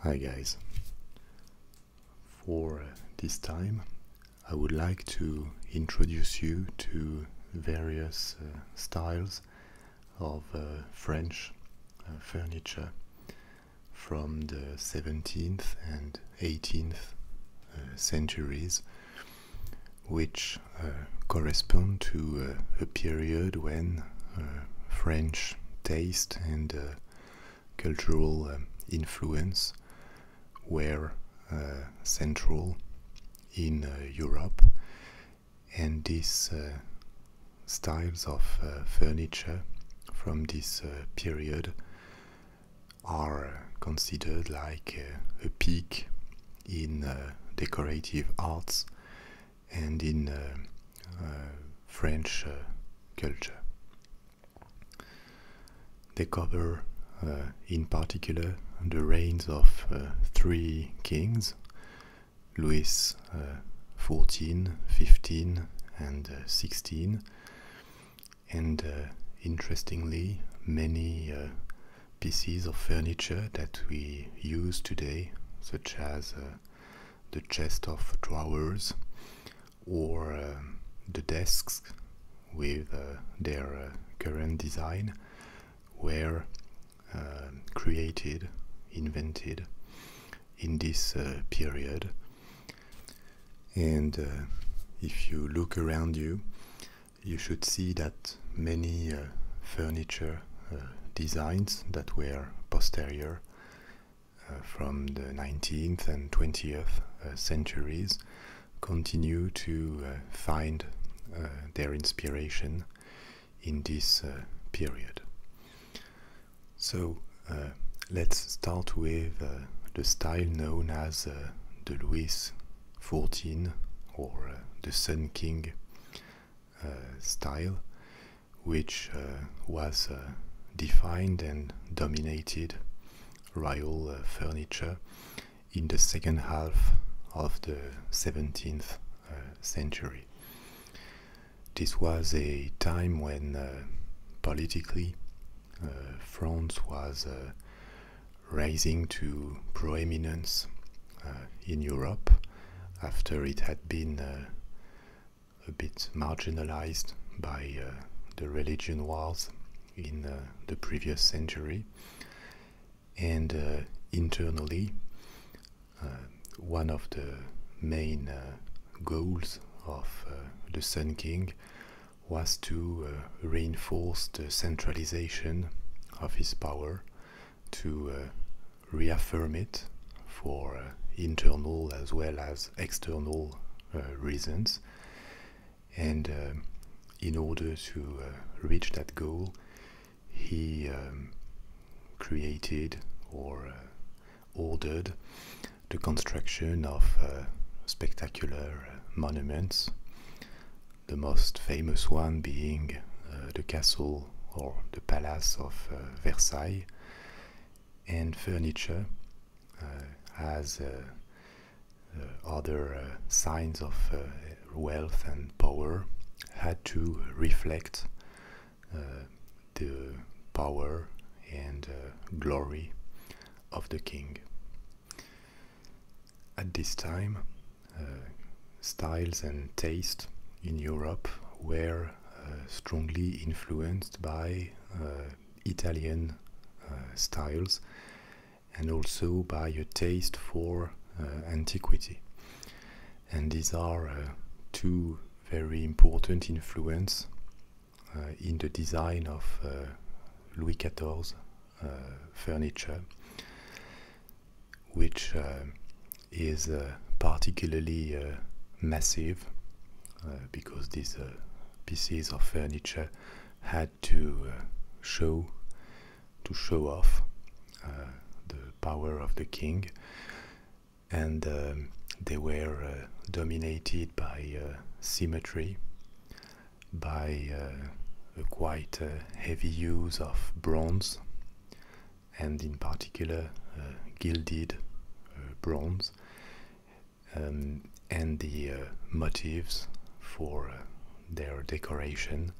Hi guys. For this time I would like to introduce you to various uh, styles of uh, French uh, furniture from the 17th and 18th centuries which correspond to a period when uh, French taste and uh, cultural um, influence were uh, central in Europe, and these styles of furniture from this period are considered like a peak in decorative arts and in uh, uh, French uh, culture. They cover, in particular, the reigns of three kings Louis XIV, 15, and 16, and interestingly, many pieces of furniture that we use today, such as the chest of drawers or um, the desks with uh, their uh, current design were um, created, invented in this uh, period. And if you look around you, you should see that many furniture uh, designs that were posterior uh, from the 19th and 20th uh, centuries continue to find their inspiration in this period. So let's start with the style known as the Louis XIV or the Sun King uh, style, which uh, was uh, defined and dominated royal furniture in the second half of the 17th century. This was a time when politically France was rising to proeminence in Europe after it had been uh, a bit marginalized by uh, the religion wars in uh, the previous century. And internally, one of the main goals of the Sun King was to reinforce the centralization of his power to uh, reaffirm it for uh, internal as well as external uh, reasons. And in order to reach that goal, he um, created or ordered the construction of spectacular monuments, the most famous one being the castle or the palace of uh, Versailles, and furniture uh, as uh, other signs of wealth and power had to reflect the power and glory of the king. At this time, uh, styles and taste in Europe were uh, strongly influenced by uh, Italian styles and also by a taste for antiquity. And these are two very important influence in the design of Louis XIV furniture which uh, is uh, particularly uh, massive because these pieces of furniture had to show to show off the power of the king and they were dominated by symmetry by quite heavy use of bronze and in particular uh, gilded uh, bronze, um, and the uh, motifs for their decoration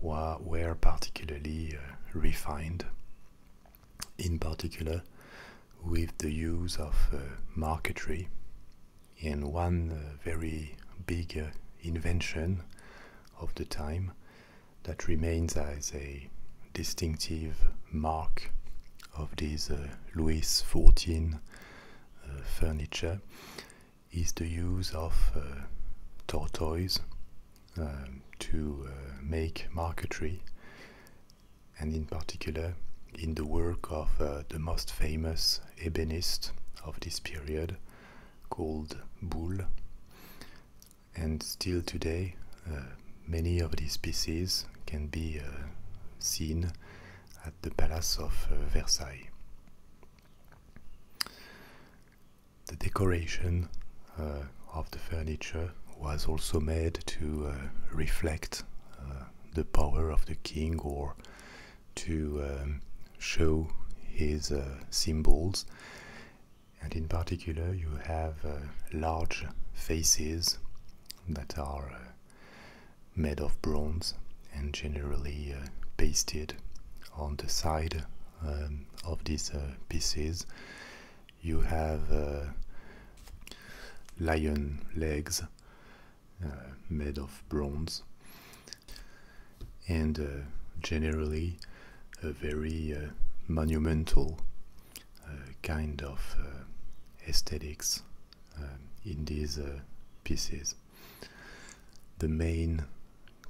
were particularly refined, in particular with the use of marquetry. And one very big invention of the time that remains as a distinctive mark of this uh, Louis XIV uh, furniture is the use of uh, tortoise um, to uh, make marquetry and in particular in the work of the most famous ebonist of this period, called bull. And still today, uh, many of these pieces can be uh, seen at the Palace of uh, Versailles. The decoration of the furniture was also made to reflect the power of the king or to um, show his symbols and in particular you have uh, large faces that are uh, made of bronze and generally uh, pasted on the side um, of these pieces. You have lion legs made of bronze and uh, generally a very uh, monumental uh, kind of aesthetics um, in these pieces. The main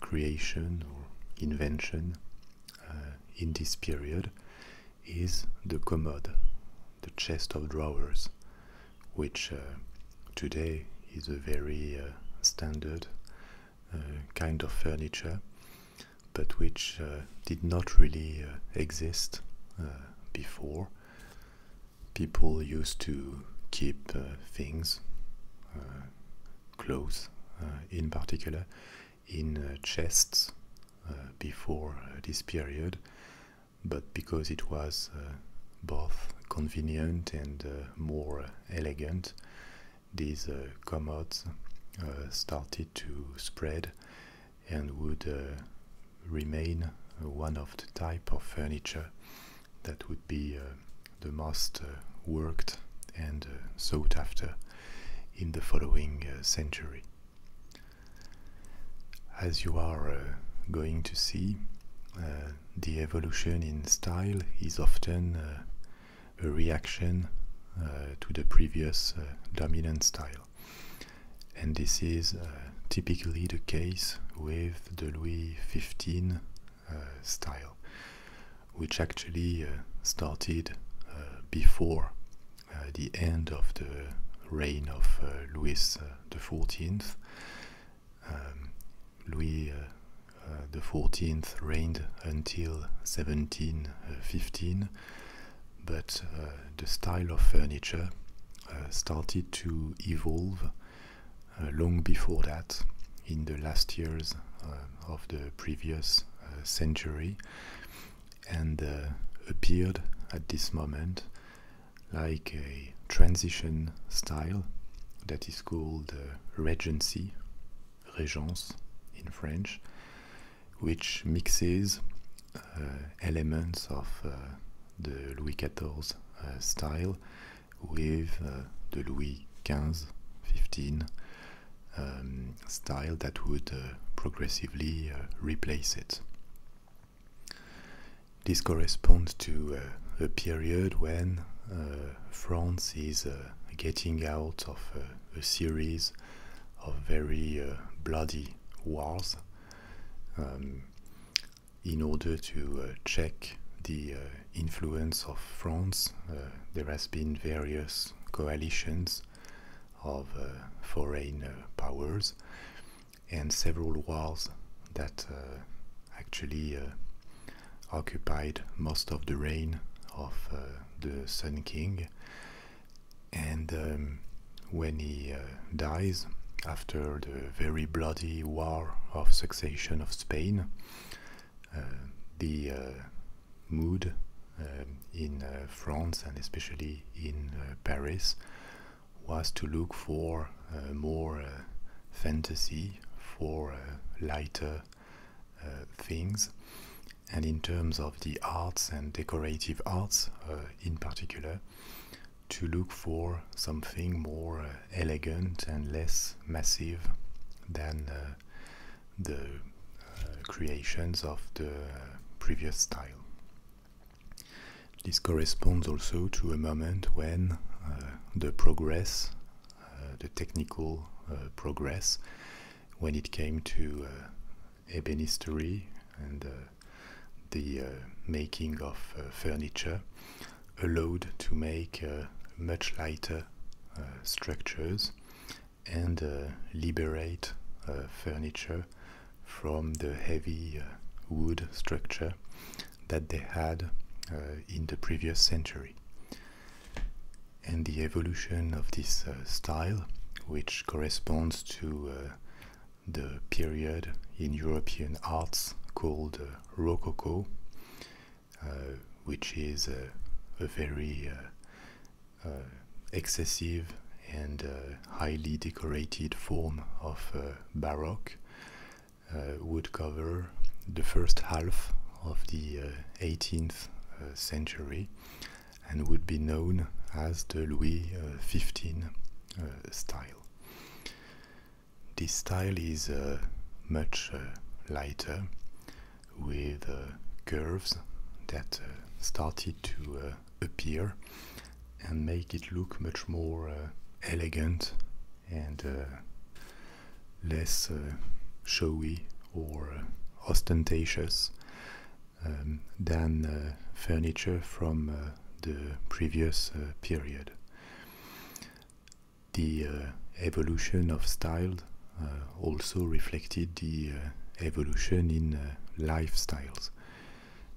creation or invention in this period is the commode, the chest of drawers, which today is a very standard uh, kind of furniture, but which uh, did not really uh, exist before. People used to keep things, clothes in particular, in chests before this period, but because it was both convenient and more elegant, these uh, commodes uh, started to spread and would uh, remain one of the type of furniture that would be the most worked and sought after in the following century. As you are going to see, the evolution in style is often uh, a reaction uh, to the previous uh, dominant style. And this is typically the case with the Louis XV style, which actually started before the end of the reign of Louis uh, XIV um, Louis uh, uh, the Fourteenth reigned until 1715, but uh, the style of furniture uh, started to evolve long before that, in the last years of the previous century, and appeared at this moment like a transition style that is called uh, regency, regence in French, which mixes uh, elements of uh, the Louis XIV style with the Louis XV, 15 um, style that would progressively replace it. This corresponds to uh, a period when uh, France is uh, getting out of a series of very bloody wars um, in order to check the influence of France. there has been various coalitions of foreign powers and several wars that actually uh, occupied most of the reign of uh, the Sun King. And um, when he uh, dies, after the very bloody War of Succession of Spain, the mood um, in France and especially in Paris was to look for uh, more uh, fantasy, for uh, lighter things. And in terms of the arts and decorative arts in particular, to look for something more elegant and less massive than the creations of the previous style. This corresponds also to a moment when, the progress, uh, the technical uh, progress, when it came to uh, ebenistery and the making of furniture, allowed to make much lighter structures and liberate furniture from the heavy wood structure that they had uh, in the previous century. And the evolution of this uh, style, which corresponds to uh, the period in European arts called Rococo, which is a very excessive and highly decorated form of Baroque, uh, would cover the first half of the 18th uh, uh, century and would be known as the Louis XV style. This style is much lighter with curves that started to appear and make it look much more elegant and uh, less uh, showy or uh, ostentatious um, than furniture from the previous period. The evolution of style also reflected the evolution in lifestyles.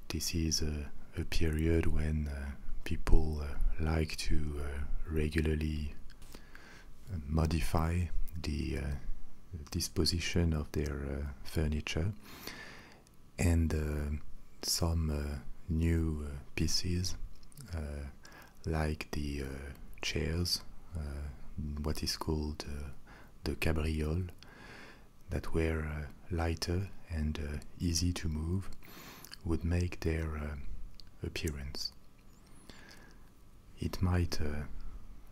This is a period when people uh, like to uh, regularly uh, modify the disposition of their furniture and some new pieces like the chairs, what is called the cabriole, that were lighter and easy to move would make their uh, appearance. It might uh,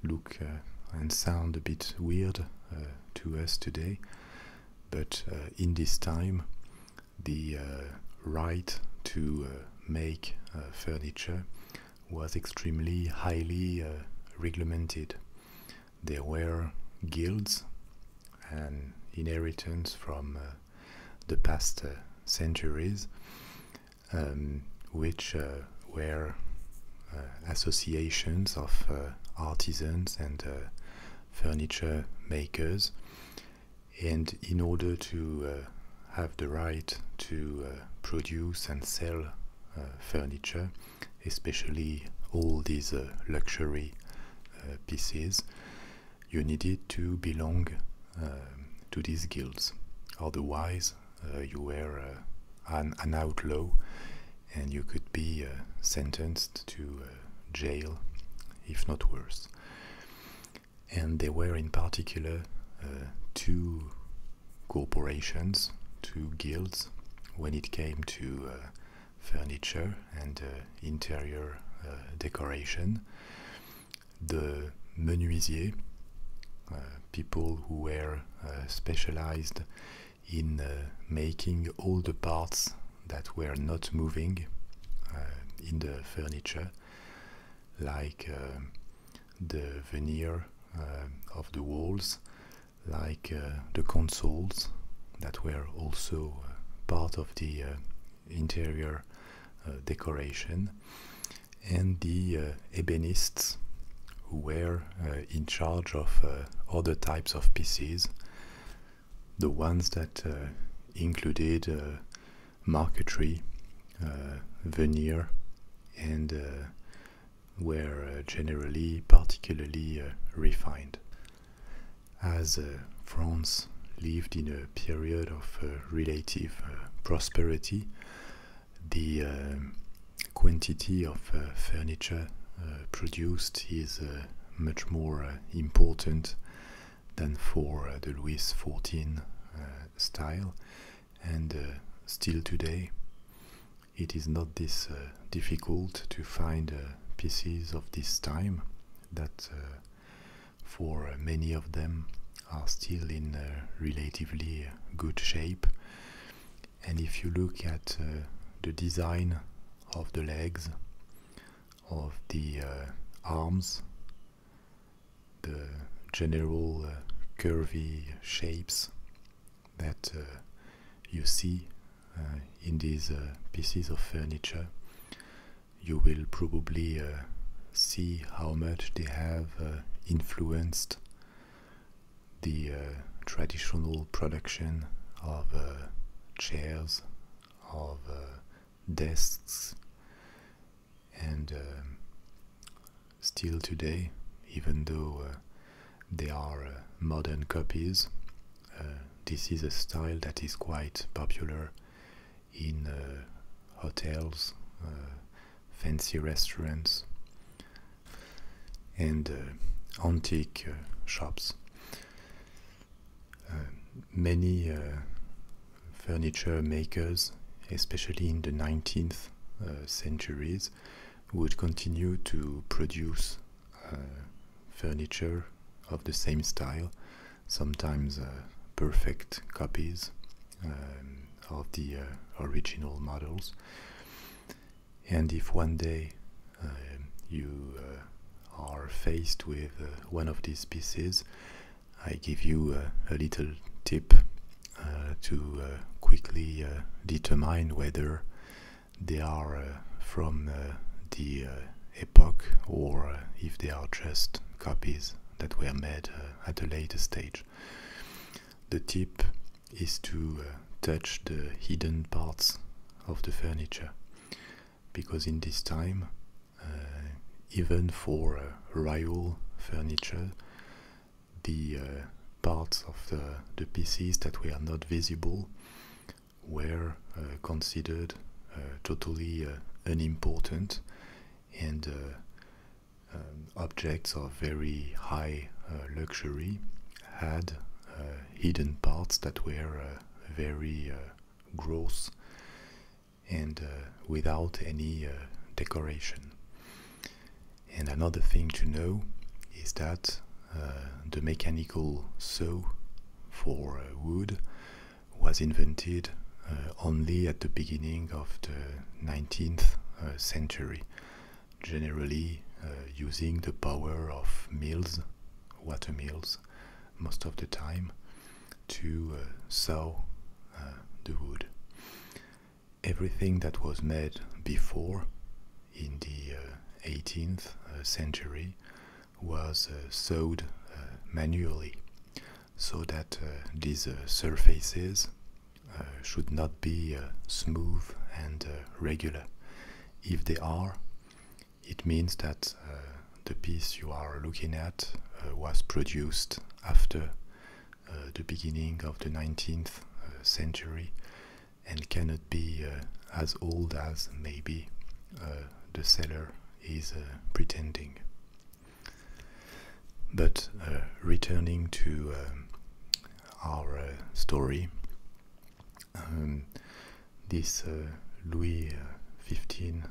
look uh, and sound a bit weird to us today, but in this time, the right to make furniture was extremely highly regulated. There were guilds an inheritance from uh, the past uh, centuries, um, which uh, were associations of artisans and furniture makers. And in order to have the right to produce and sell furniture, especially all these luxury pieces, you needed to belong uh, to these guilds. Otherwise, uh, you were uh, an, outlaw and you could be sentenced to jail, if not worse. And there were, in particular, two corporations, two guilds, when it came to furniture and uh, interior uh, decoration. The menuisier, uh, people who were specialized in making all the parts that were not moving in the furniture, like the veneer of the walls, like the consoles, that were also uh, part of the uh, interior uh, decoration, and the ebenists who were in charge of other types of pieces, the ones that included marquetry, veneer, and were generally particularly refined as uh, France lived in a period of uh, relative uh, prosperity, the um, quantity of furniture produced is much more important than for the Louis XIV style, and still today it is not this difficult to find uh, pieces of this time that uh, for uh, many of them are still in relatively good shape. And if you look at the design of the legs, of the arms, the general curvy shapes that you see uh, in these uh, pieces of furniture, you will probably uh, see how much they have influenced the traditional production of chairs, of desks, and um, still today, even though they are modern copies, uh, this is a style that is quite popular in uh, hotels, uh, fancy restaurants, and antique shops. many furniture makers, especially in the 19th centuries, would continue to produce uh, furniture of the same style, sometimes uh, perfect copies um, of the uh, original models. And if one day um, you are faced with one of these pieces, I give you a little tip to quickly determine whether they are uh, from uh, the uh, epoch or if they are just copies that were made at a later stage. The tip is to touch the hidden parts of the furniture because in this time even for uh, furniture, the parts of the, the pieces that were not visible were uh, considered uh, totally uh, unimportant and um, objects of very high luxury had hidden parts that were very gross and without any decoration. And another thing to know is that uh, the mechanical saw for uh, wood was invented uh, only at the beginning of the 19th century, generally using the power of mills, water mills, most of the time, to saw the wood. Everything that was made before in the 18th uh, uh, century was uh, sewed manually so that these surfaces should not be smooth and regular. If they are, it means that the piece you are looking at was produced after the beginning of the 19th century and cannot be uh, as old as maybe uh, the seller is uh, pretending. But returning to our story, um, this Louis XV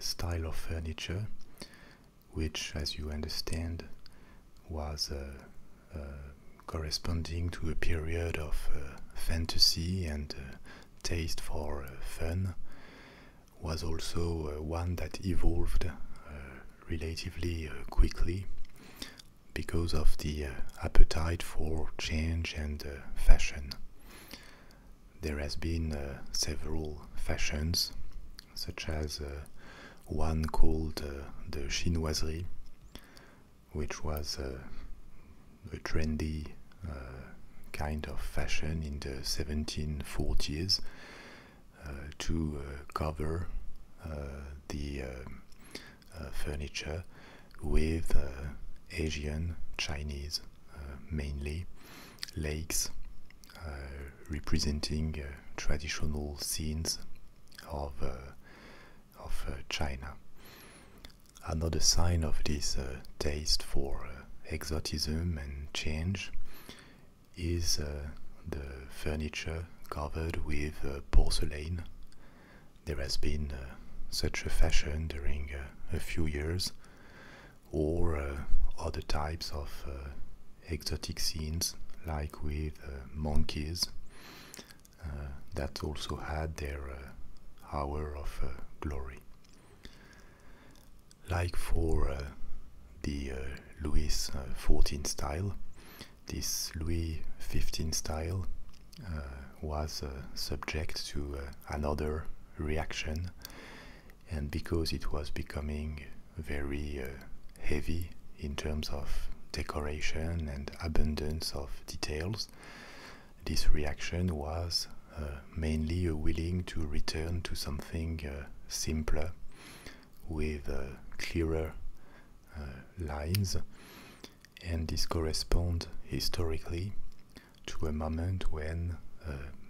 style of furniture, which, as you understand, was uh, corresponding to a period of uh, fantasy and uh, taste for fun, was also one that evolved relatively quickly because of the appetite for change and fashion. There has been several fashions, such as one called the chinoiserie, which was a trendy uh, kind of fashion in the 1740s uh, to uh, cover the furniture with Asian, Chinese mainly, lakes representing traditional scenes of of uh, China. Another sign of this uh, taste for uh, exotism and change is the furniture covered with porcelain. There has been such a fashion during a few years, or other types of exotic scenes like with monkeys uh, that also had their uh, hour of uh, glory. Like for the Louis XIV style, this Louis XV style was subject to another reaction, and because it was becoming very heavy in terms of decoration and abundance of details, this reaction was uh, mainly a willing to return to something uh, simpler with uh, clearer lines and this corresponds historically to a moment when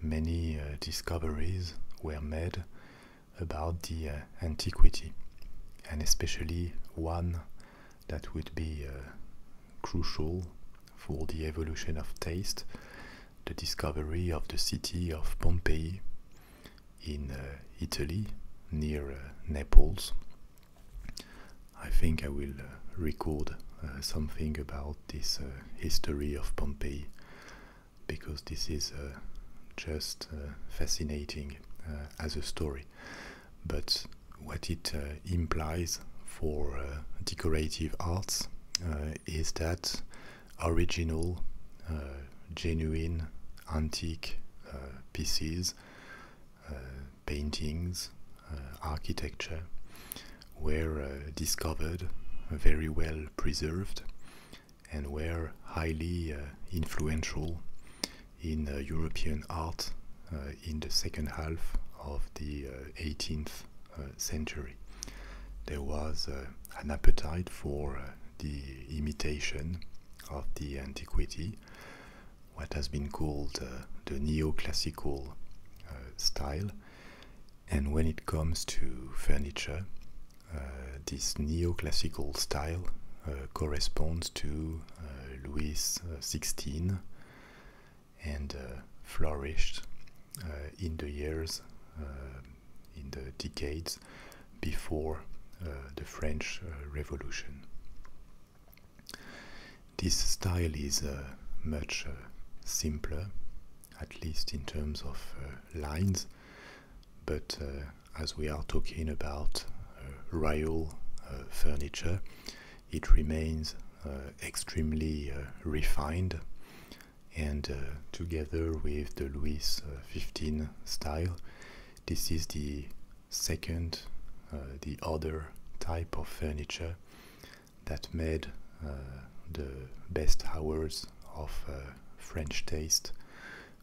many discoveries were made about the antiquity and especially one that would be uh, crucial for the evolution of taste, the discovery of the city of Pompeii in uh, Italy near uh, Naples. I think I will record something about this history of Pompeii because this is just fascinating as a story but what it uh, implies for uh, decorative arts uh, is that original, genuine, antique pieces, paintings, architecture were discovered, very well preserved, and were highly influential in uh, European art uh, in the second half of the 18th uh, century. There was an appetite for the imitation of the antiquity, what has been called the neoclassical style. And when it comes to furniture, this neoclassical style corresponds to uh, Louis uh, XVI and uh, flourished in the years, in the decades before the French Revolution. This style is much simpler, at least in terms of lines but uh, as we are talking about uh, rail uh, furniture, it remains extremely refined and together with the Louis XV style, this is the second, the other type of furniture that made the best hours of French taste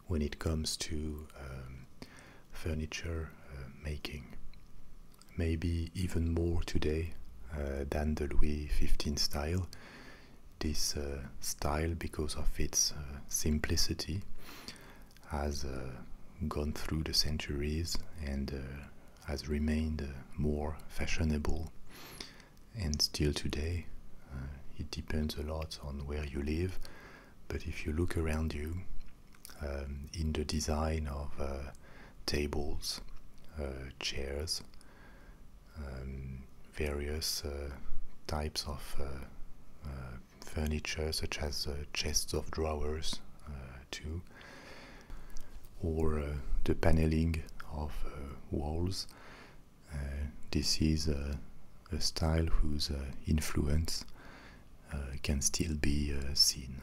when it comes to um, furniture uh, making. Maybe even more today uh, than the Louis XV style. This uh, style, because of its simplicity, has gone through the centuries and has remained more fashionable. And still today, it depends a lot on where you live but if you look around you um, in the design of uh, tables, uh, chairs, um, various uh, types of furniture, such as chests of drawers, too, or the paneling of walls, this is a style whose uh, influence uh, can still be uh, seen.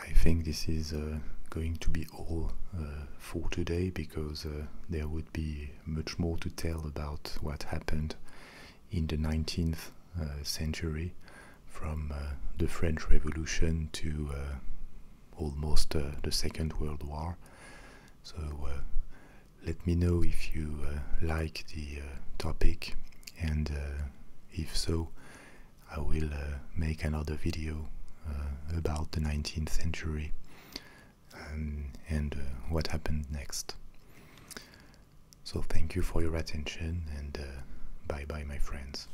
I think this is going to be all for today because there would be much more to tell about what happened in the 19th century from the French Revolution to almost the Second World War so uh, let me know if you uh, like the uh, topic, and if so, I will make another video about the 19th century um, and what happened next. So thank you for your attention and bye bye my friends.